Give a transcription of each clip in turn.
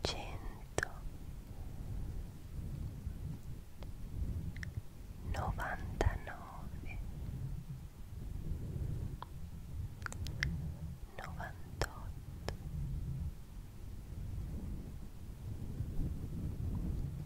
cento novantanove novantotto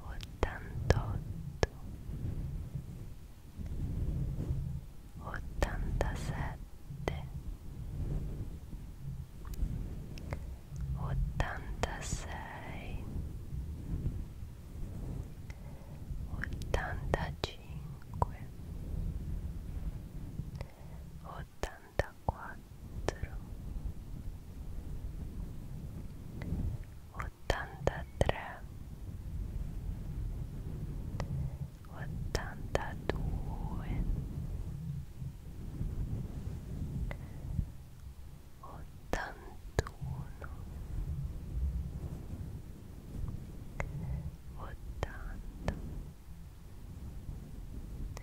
ottantotto ottantasette ottantasei ottantacinque ottantaquattro 84 83 82 81 80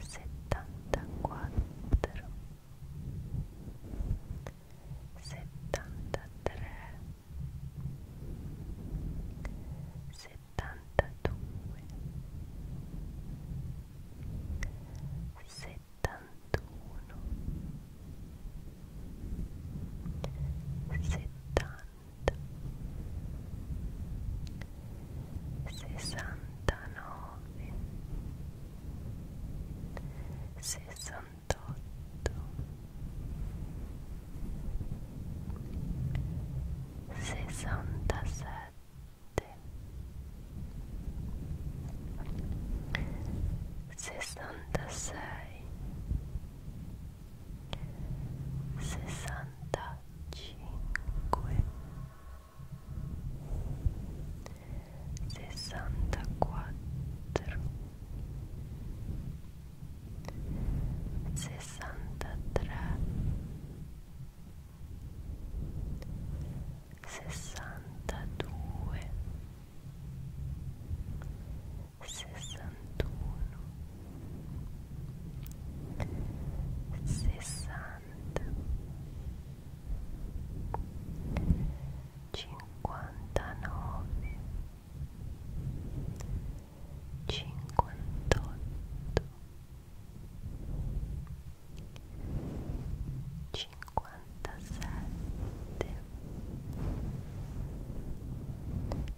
settantaquattro settantatré settantadue settantuno settanta sessantanove sessantotto sessantasette sessantasei sessanta cinque sessantaquattro sessantatré sessantadue sessantuno, sessanta, cinquantanove, cinquantotto, cinquantasette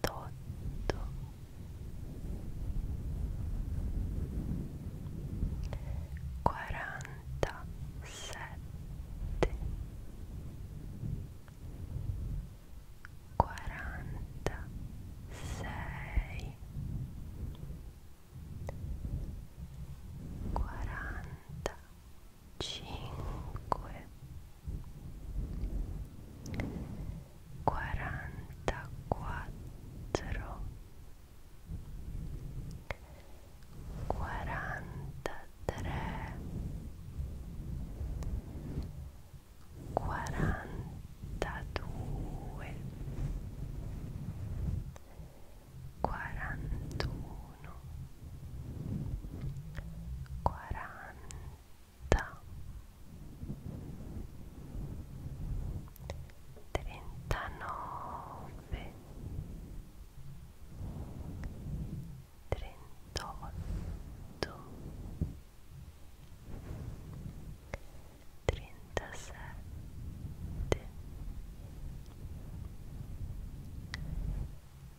quarantotto quarantasette quarantasei quarantacinque quarantaquattro quarantatré quarantadue quarantuno quaranta trentanove trentotto trentasette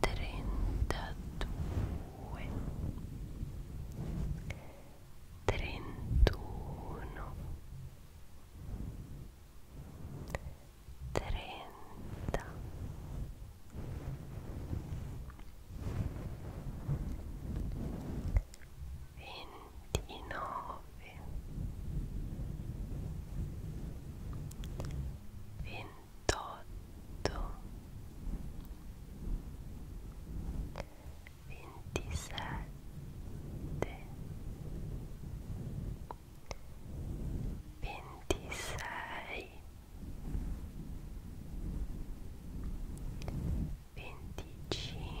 trentadue trentuno trenta ventinove ventinove ventotto ventisette ventisei venticinque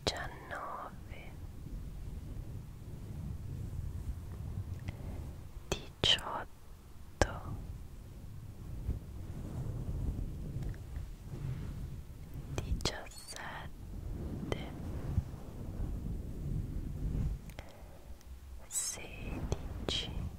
diciannove, diciotto, diciassette, sedici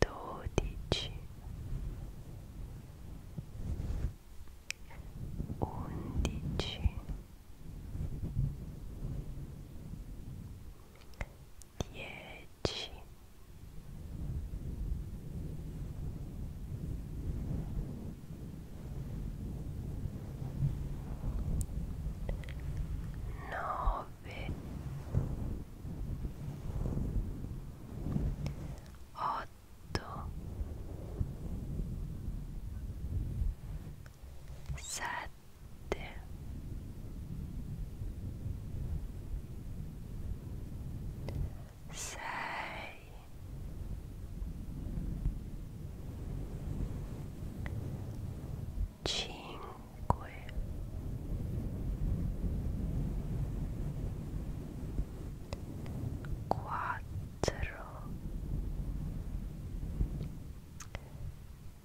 dodici undici dieci nove otto sette sei cinque ovunque quattro tre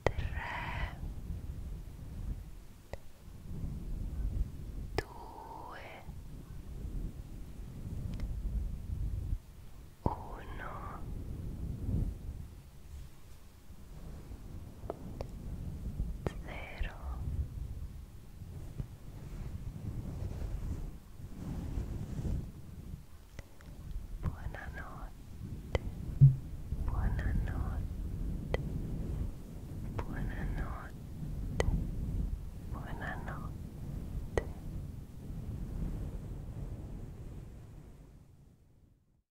due uno zero buonanotte buonanotte buonanotte buonanotte